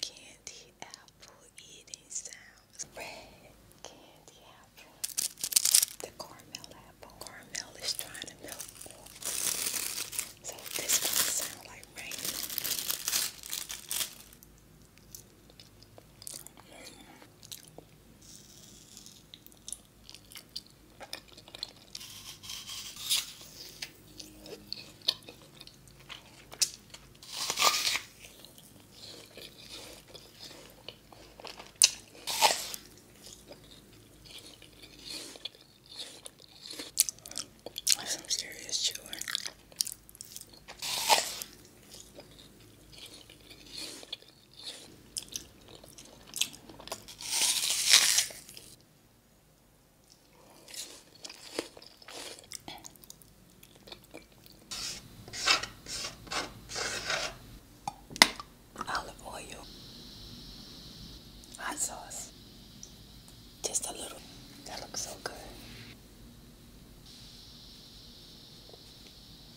Candy apple eating sounds. Red candy apple. The caramel apple. Caramel is trying to milk. So this one sounds like rain. That's some serious chewing. Olive oil, hot sauce, just a little. That looks so good.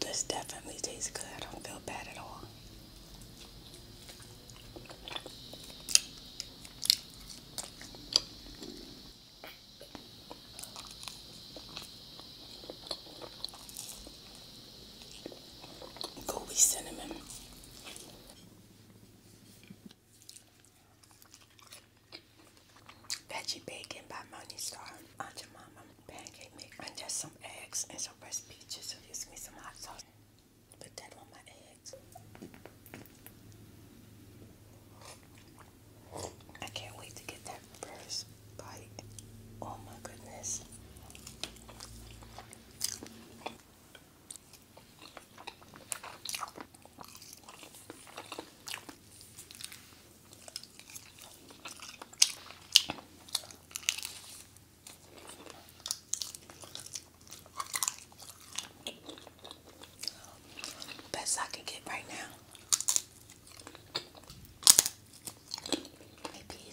this definitely tastes good. I don't feel bad at all. Gooey cinnamon. Veggie bacon by Money Star. Aunt Mama pancake mix and just some eggs and some fresh peaches. So gives me some hot sauce. Put that on my eggs. I can't wait to get that first bite. Oh my goodness. Best I can get right now. Maybe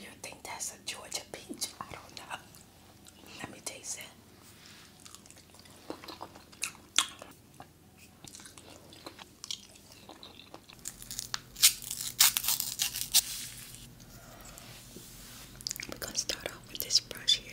You think that's a Georgia peach? I don't know. Let me taste it. We're gonna start off with this brush here.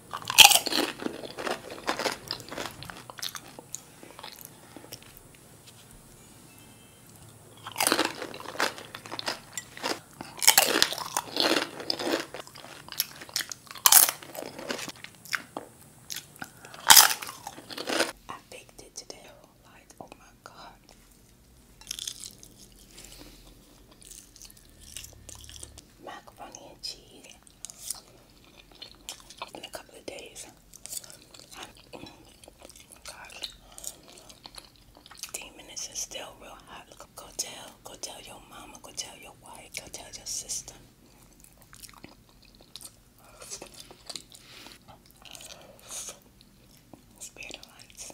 I baked it today, oh my god. Macaroni and cheese in a couple of days. Oh, gosh. minutes is still real hot. Go tell, go tell your mama, go tell your wife, go tell your sister. Spare lights.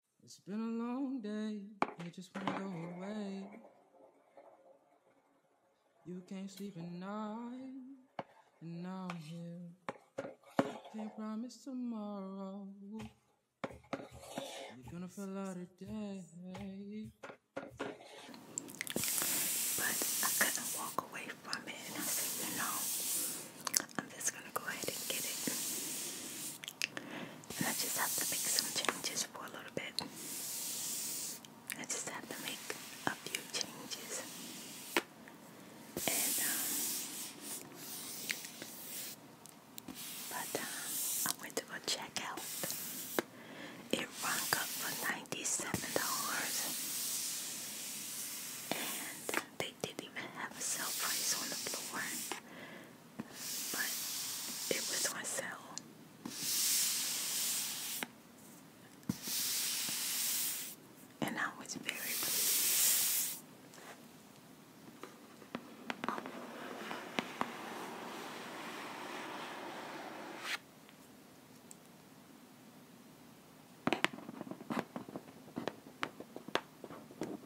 It's been a long day, you just wanna go away. You can't sleep at night, and now I'm here. Can't promise tomorrow. You're gonna feel out of day. But I couldn't walk away from it, and I said, you know, I'm just gonna go ahead and get it. I just have to make some changes for a little bit. I just have to make a few changes. And um but um I went to go check out. It rung up for $97. And they didn't even have a sale price on the floor but it was on sale. And I was very pleased.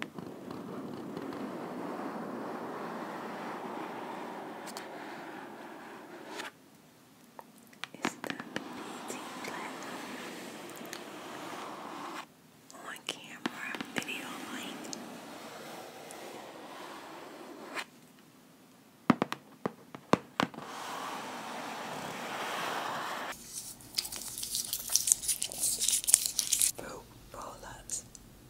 It's the BT Platinum on camera video light. Fruit roll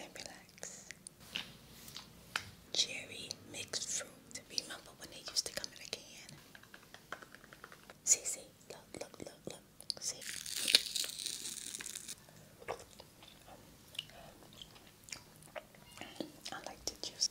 and relax. Cherry mixed fruit. Remember when they used to come in a can? See, look, look, look, look. See. I like to juice.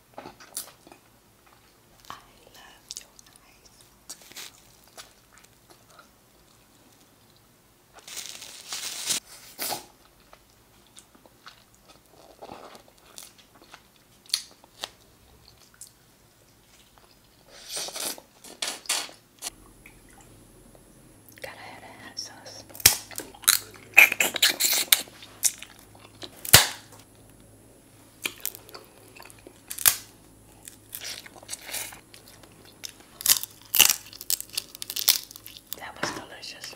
I love your eyes. Gotta have that sauce. That was delicious.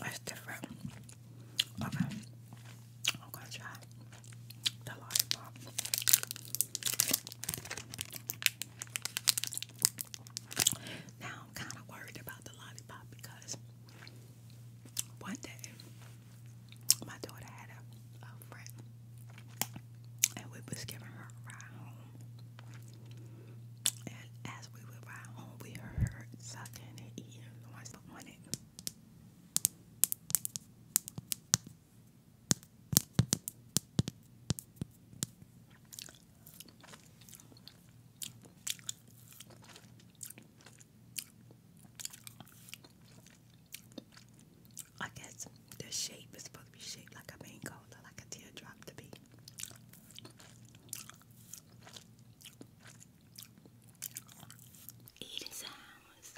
That's different. Okay. I'm gonna try the lollipop. Now I'm kind of worried about the lollipop because one day my daughter had a, a friend, and we was giving her a ride home. And as we would ride home, we heard sucking and eating noise on it. I guess the shape is supposed to be shaped like a mango, or like a teardrop to be. Eating sounds.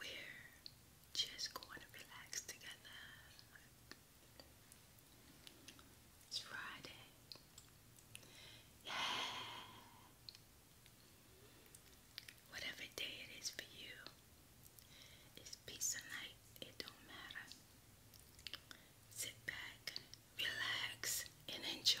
We're just going to relax together. It's Friday. Yeah. Whatever day it is for you, it's peace of night. It don't matter. Sit back, relax, and enjoy.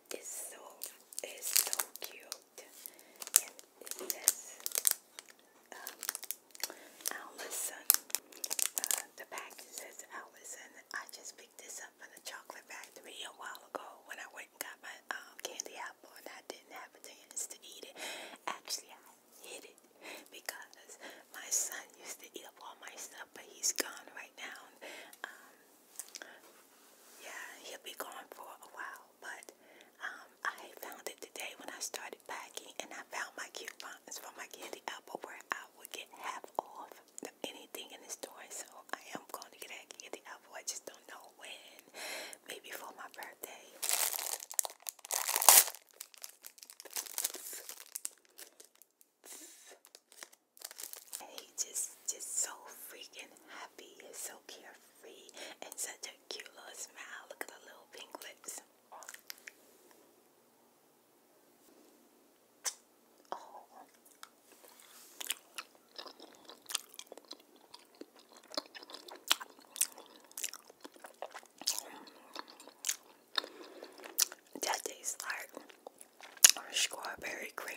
It's so is so cute, and it um, Allison. Uh, the package says Allison. I just picked this up from the chocolate factory a while ago when I went and got my um, candy apple, and I didn't have a chance to eat it. Actually, I hid it because my son used to eat up all my stuff, but he's gone right now. Um, yeah, he'll be gone for a while, but um, I found it today when I started packing, and I found my coupons for my candy apple where I would get half off anything in the store. So I am going to get that candy apple. I just don't know when. Maybe for my birthday. And he just just so freaking happy and so carefree and such a cute little smile. Look at the little pink lips. Oh strawberry cream.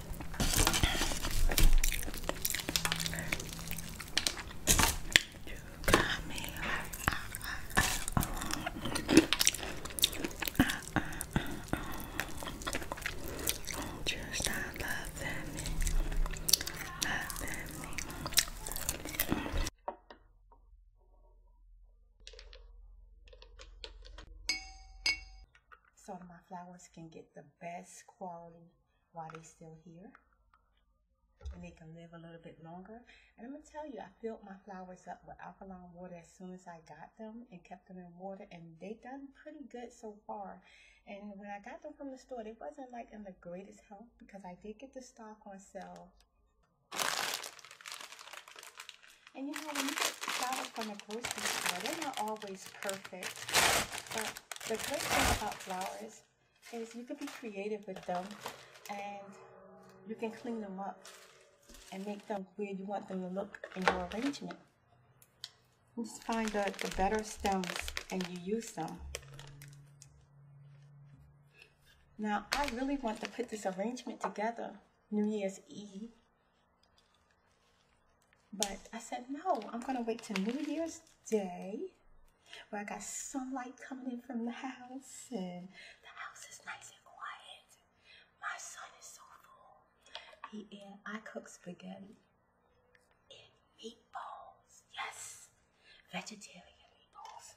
You got me like, uh, uh, uh, uh, uh, uh, uh, uh. Just I love me, love me so my flowers can get the best quality while they're still here and they can live a little bit longer. And I'm gonna tell you, I filled my flowers up with alkaline water as soon as I got them and kept them in water, and they have done pretty good so far. And when I got them from the store, they wasn't like in the greatest health because I did get the stock on sale. And you know, you get flowers from the grocery store, they're not always perfect. the great thing about flowers is you can be creative with them and you can clean them up and make them where you want them to look in your arrangement. just find the, the better stems and you use them. Now I really want to put this arrangement together New Year's Eve but I said, no, I'm going to wait till New Year's Day where I got sunlight coming in from the house and the house is nice and quiet. My son is so full. He and I cook spaghetti and meatballs. Yes, vegetarian meatballs.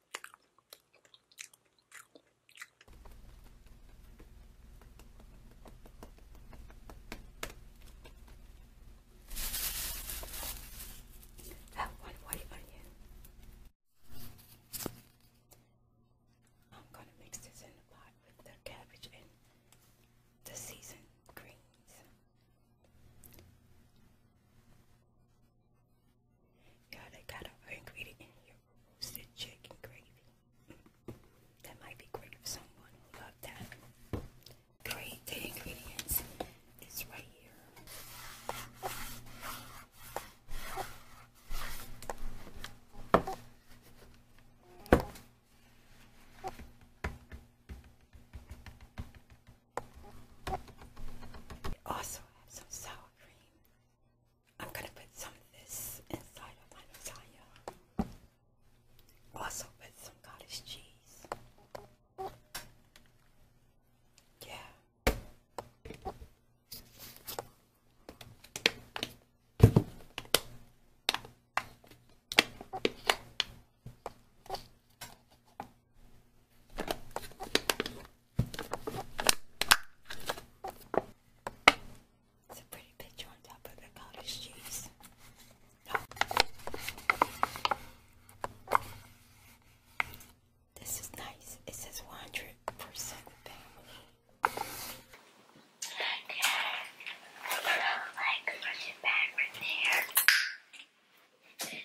Have one white onion. I'm gonna mix this in the pot with the cabbage and the seasoned greens. God, I got an ingredient in here, roasted chicken gravy. Mm. That might be great for someone who loved that. Great, the ingredients is right here. We also have some sour cream I'm going to put some of this inside of my lasagna. Also put some cottage cheese. Yeah. It's a pretty picture on top of the cottage cheese. No. This is nice. It says 100% family. Yeah. like, push back right there. here.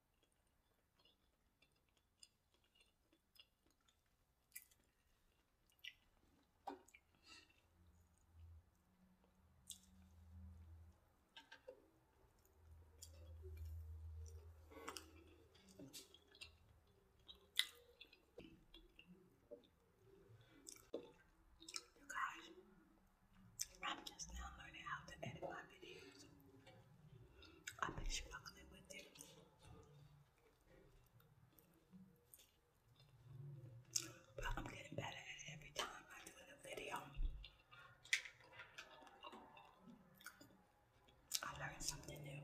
You guys, I'm just now learning how to edit my videos. I bet she fucking it with it. But I'm getting better at it every time I do a video. I learn something new.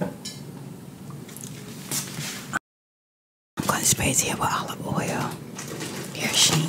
I'm going to spray it here with olive oil. Here, Sheen.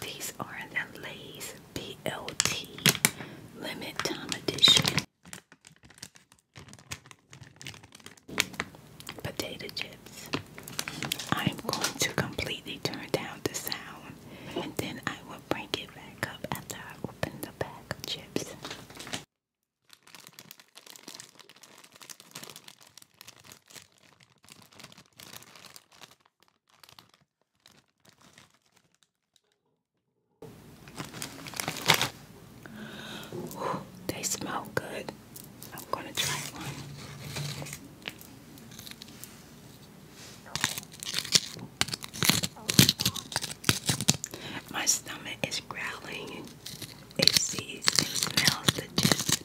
These are the Lay's BLT Limit Time Edition potato chips. I am going to completely turn down the sound and then I will bring it back up after I open the bag of chips they smell good. I'm gonna try one. My stomach is growling. It sees and smells the gist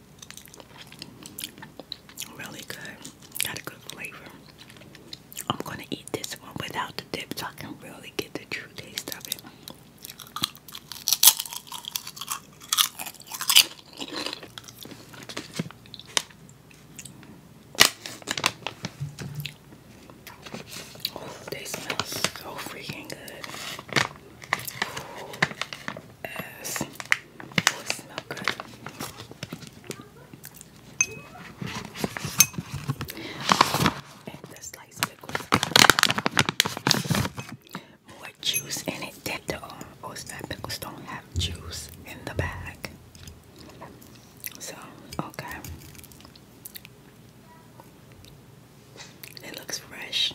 Really good. Got a good flavor. I'm gonna eat this one without the dip so I can really get the true taste of it. Oh, they smell so freaking good. Yes. Oh, juice in it than the uh, oyster oh, pickles don't have juice in the bag. So, okay. It looks fresh.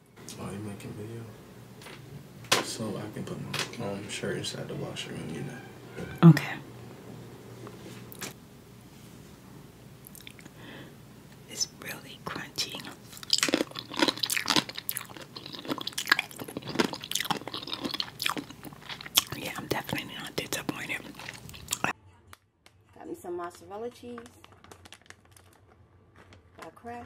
Oh, you making video? So I can put my shirt inside the washer and you know. Okay. It's really crunchy. Yeah, I'm definitely not disappointed. Got me some mozzarella cheese. crack.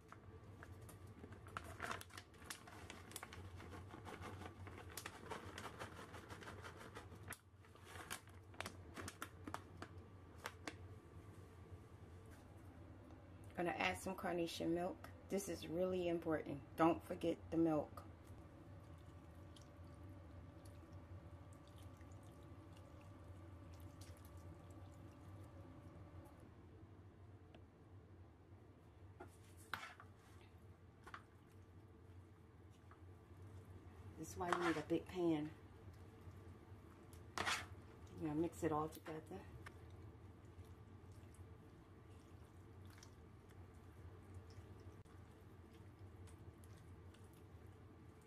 Gonna add some carnation milk. This is really important. Don't forget the milk. This is why you need a big pan. You know, mix it all together.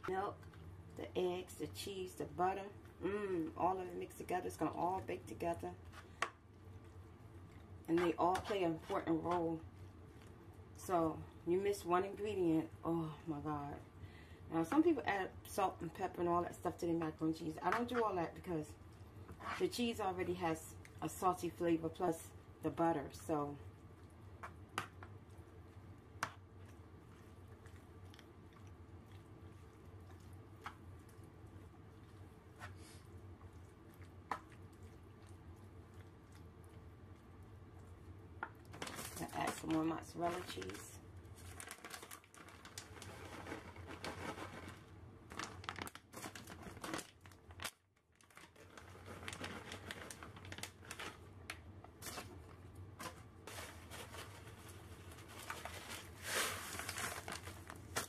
Milk, the eggs, the cheese, the butter, mmm, all of it mixed together. It's gonna all bake together. And they all play an important role. So you miss one ingredient, oh my God. Now some people add salt and pepper and all that stuff to the macaroni cheese. I don't do all that because the cheese already has a salty flavor plus the butter. So add some more mozzarella cheese.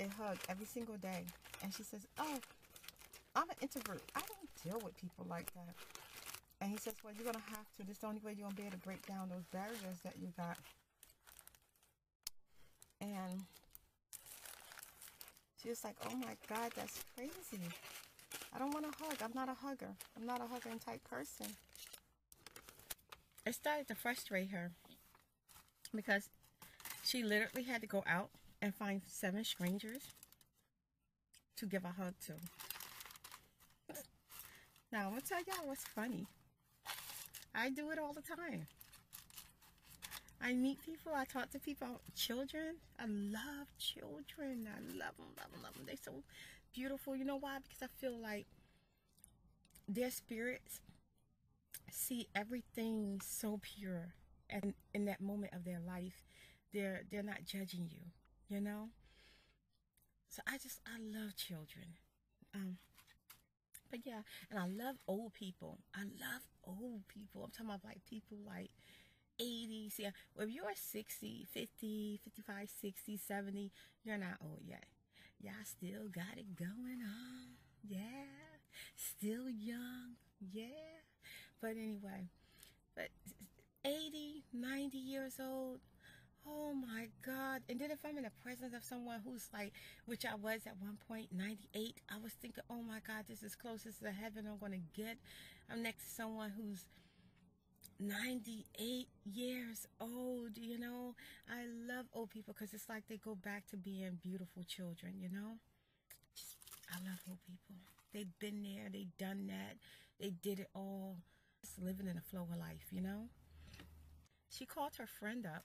a hug every single day. And she says, oh, I'm an introvert. I don't deal with people like that. And he says, well, you're going to have to. This is the only way you're going to be able to break down those barriers that you got. And she was like, oh, my God, that's crazy. I don't want to hug. I'm not a hugger. I'm not a hugging type person. It started to frustrate her because she literally had to go out and find seven strangers to give a hug to. now, I'm going to tell y'all what's funny. I do it all the time. I meet people, I talk to people, children. I love children. I love them, love them, They're so beautiful. You know why? Because I feel like their spirits see everything so pure and in that moment of their life they're they're not judging you you know so i just i love children um but yeah and i love old people i love old people i'm talking about like people like Eighty, Yeah. Well, if you're 60, 50, 55, 60, 70, you're not old yet. Y'all still got it going on. Yeah. Still young. Yeah. But anyway, but 80, 90 years old. Oh my God. And then if I'm in the presence of someone who's like, which I was at one point, 98, I was thinking, oh my God, this is closest to heaven I'm going to get. I'm next to someone who's 98 years old, you know. I love old people because it's like they go back to being beautiful children, you know. I love old people. They've been there, they've done that, they did it all. Just living in a flow of life, you know. She called her friend up.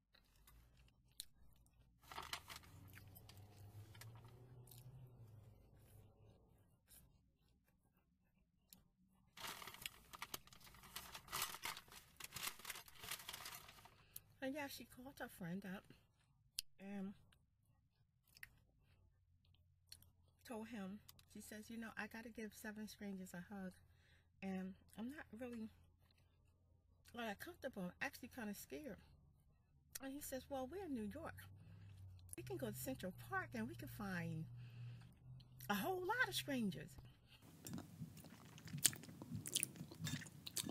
And yeah, she called her friend up and told him, she says, you know, I got to give seven strangers a hug. And I'm not really well, comfortable. I'm actually kind of scared. And he says, Well, we're in New York. We can go to Central Park and we can find a whole lot of strangers.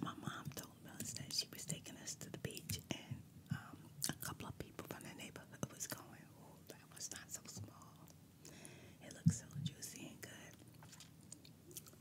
My mom told us that she was taking us to the beach and um, a couple of people from the neighborhood was going, Oh, that was not so small. It looks so juicy and good.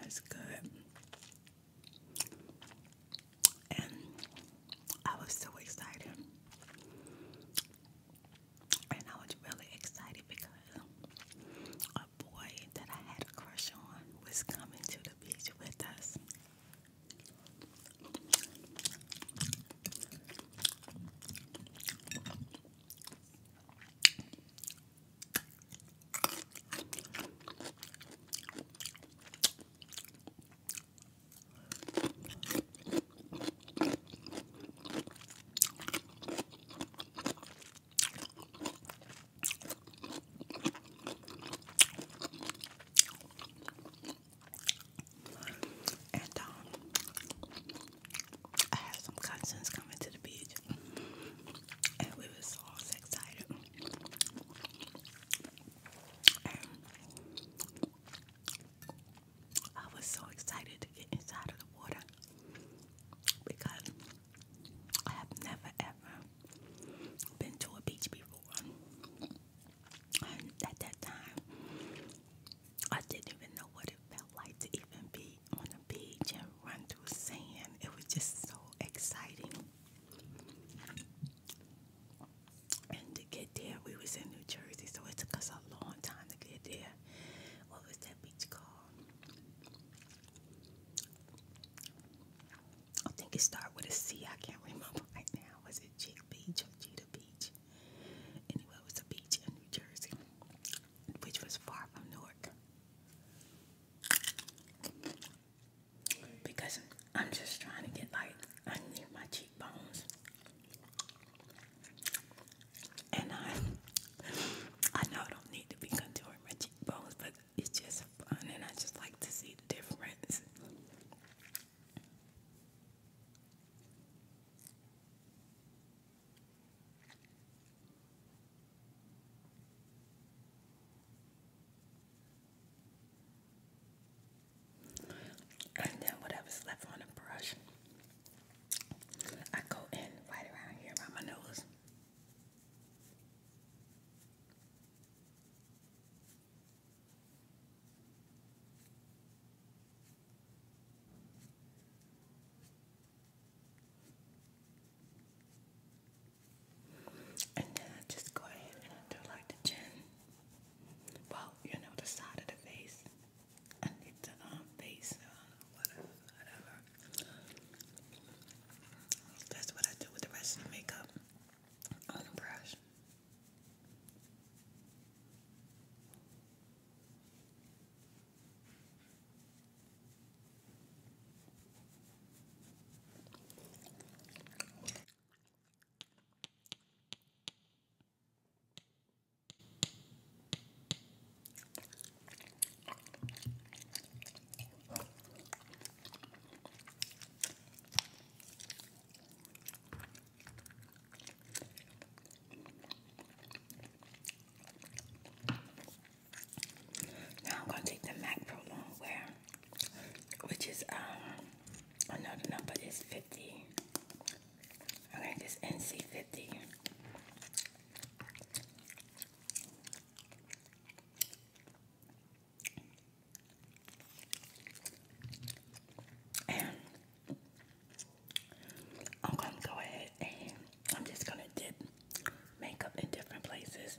That's good. And I was so excited. And I was really excited because a boy that I had a crush on was coming to the beach with us. And um, I had some cousins coming to the beach, and we was all excited. And I was so excited to get inside of the water because I have never ever been to a beach before. at that time, I didn't even know what it felt like to even be on a beach and run through sand. It was just so exciting. And to get there, we was in New Jersey, so it took us a long time to get there. What was that beach called? I think it started with a C. I can't remember right now. Was it Chick Beach or Cheetah Beach? Anyway, it was a beach in New Jersey, which was far from Newark. Because I'm just trying to get like underneath my cheekbones, and I I know I don't need to be contouring my cheekbones, but it's just fun and I just like to see the difference. And then whatever's left on the brush, I go in right around here around my nose. And then uh, I just go ahead and do like the chin. Well, you know, the side of the face. I need the um, face, uh, whatever, whatever. That's what I do with the rest of the makeup on the brush. Now I'm going to take the MAC Pro Longwear, which is, um, another number is 50. I'm going NC 50. And I'm gonna go ahead and I'm just gonna dip makeup in different places.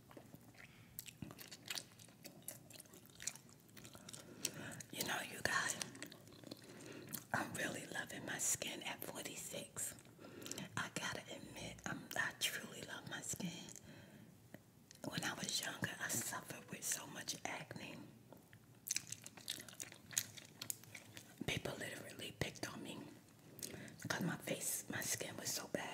You know, you guys, I'm really loving my skin at 46. I gotta admit, I'm, I truly love my skin. When I was younger, I suffered with so much acne. People literally picked on me because my face, my skin was so bad.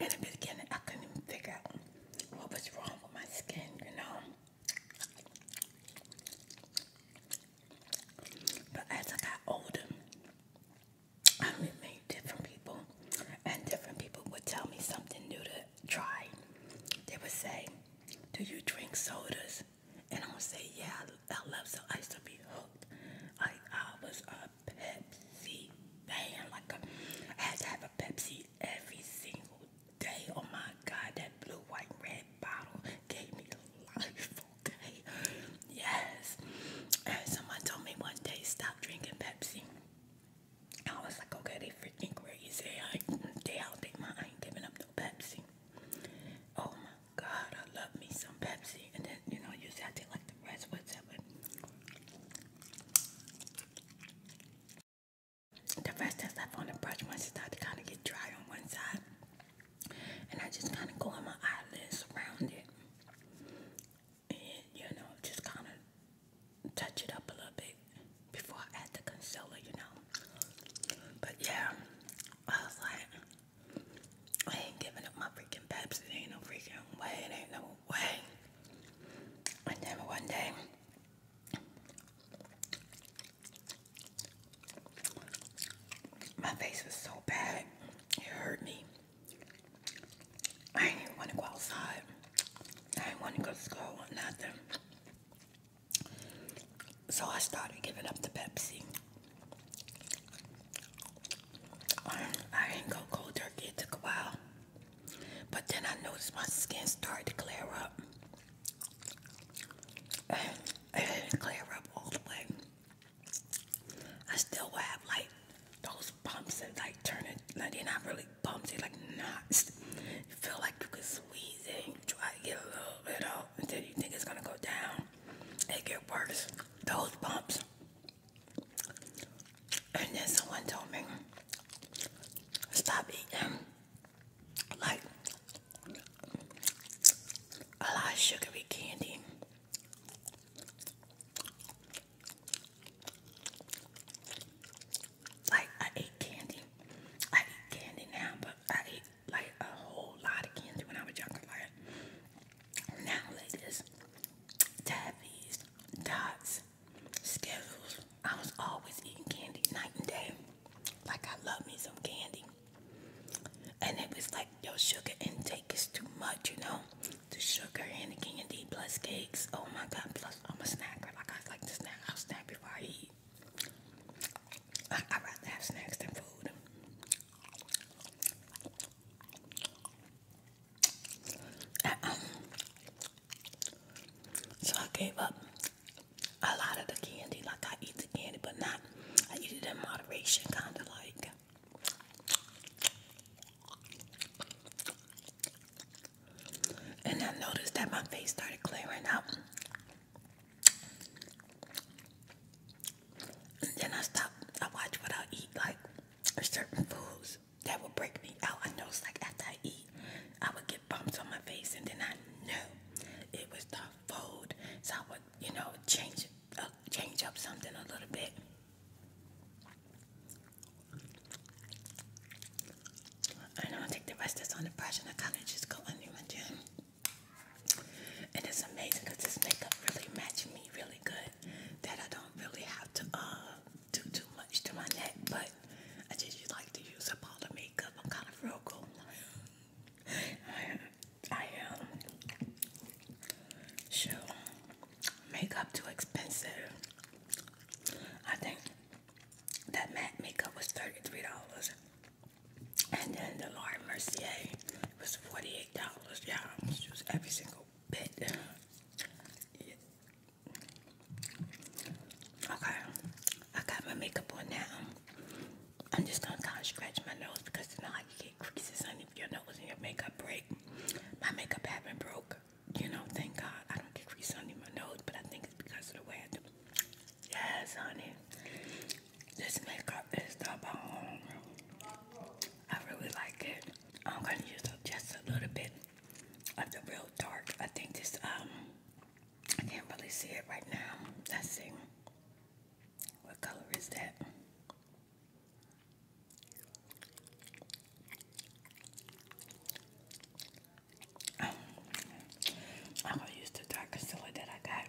In the beginning, I couldn't even figure what was wrong with my skin, you know. But as I got older, I met different people, and different people would tell me something new to try, they would say, Do you drink sodas? And I would say, Yeah, I, love so I used to be hooked. I, I was a Pepsi fan. Like, a, uh, I had to have a Pepsi every single day. Oh my God, that blue, white, red bottle gave me life, okay? Yes. And someone told me one day, Stop drinking Pepsi. I was like, okay, they freaking crazy. I they out they my. I ain't giving up no Pepsi. Oh my God, I love me some Pepsi. And then you know, usually I take like the rest, whatever. The rest is left on the brush once it started to kind of get dry on one side, and I just kind of go on my eyelids around it, and you know, just kind of touch it up a little bit before I add the concealer, you know. But yeah, I was like, I ain't giving up my freaking Pepsi. There ain't no freaking way. It ain't no way. And then one day, my face was so bad, it hurt me. I didn't even want to go outside. I didn't want to go to school or nothing. So I started giving up the Pepsi. I didn't go cold turkey, it took a while. But then I noticed my skin started to clear up. And it didn't clear up all the way. I still have like those bumps and like turning. it, they're not really like bumps. They like knots. You feel like you could squeeze it. You try to get a little bit out until you think it's gonna go down. It get worse. Those bumps. And then someone told me, stop eating like a lot of sugary candy. Like I ate candy. I eat candy now, but I ate like a whole lot of candy when I was younger. now, ladies, tabbies, dots, skittles. I was always eating candy night and day. Like I love me some candy. And it was like your sugar intake is too much, you know. The sugar and the candy plus cakes. Oh my god, plus I'm a snacker. Like I like to snack. I'll snack before I eat. I, i rather have snacks than food. Uh-uh. so I gave up a lot of the candy. Like I eat the candy, but not. I eat it in moderation, kind of like and I noticed that my face started clearing up. And then I stopped. I watch what I eat, like certain foods that would break me out. I noticed, like after I eat, I would get bumps on my face, and then I knew it was the food. So I would, you know, change uh, change up something a little bit. I don't think the rest is on the brush and I kind of just go under my chin. And it's amazing this makeup really matched me really good that I don't really have to uh, do too much to my neck. But I just like to use up all the makeup. I'm kind of frugal. I, I am. Sure. Makeup too expensive. I think that matte makeup was $33. And then the Laura Mercier was $48. Yeah, I was every single bit. Yeah. Okay, I got my makeup on now. I'm just gonna kind of scratch my nose because it's not like you get creases on your nose and your makeup break. My makeup haven't broke, you know, thank God. I don't get creases under my nose, but I think it's because of the way I do Yes, honey. This makeup is the bomb. I really like it. I'm gonna use just a little bit of the real dark. I think this um I can't really see it right now. Let's see. What color is that? I'm gonna use the dark concealer that I got,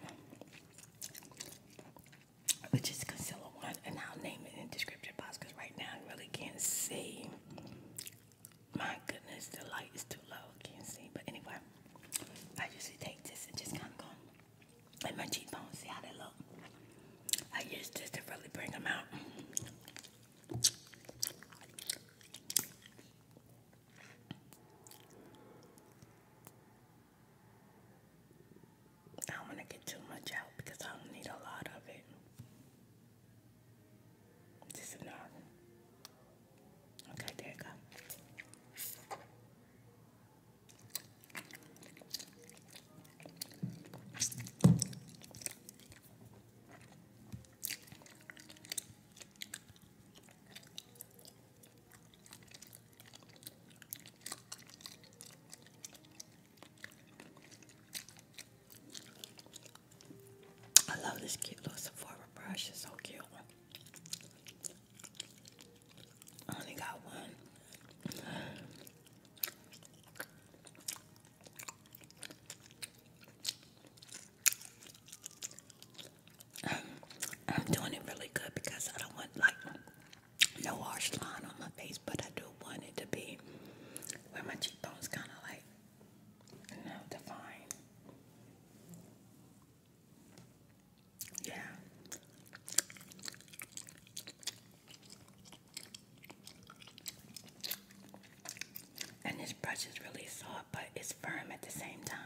which is concealer one, and I'll name it in the description box because right now I really can't see. My goodness, the light is too low, can't see. But anyway, I usually take this and just kind of go in my cheekbones, see how they look. I use this to really bring them out. I don't want to get too much out because I don't need a lot of it. Just enough. Okay, there you go. I love this cute little Sephora brush. It's so cute. only got one. I'm doing it really good because I don't want like no harsh line on my face, but I do want it to be where my cheekbones kind of like you defined. Yeah. And this brush is really soft but it's firm at the same time.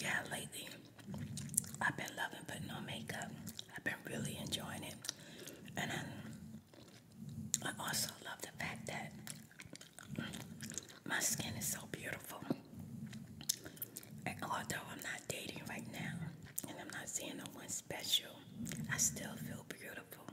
Yeah, lately I've been loving putting on makeup. I've been really enjoying it. And I, also love the fact that my skin is so beautiful. And although I'm not dating right now and I'm not seeing no one special, I still feel beautiful.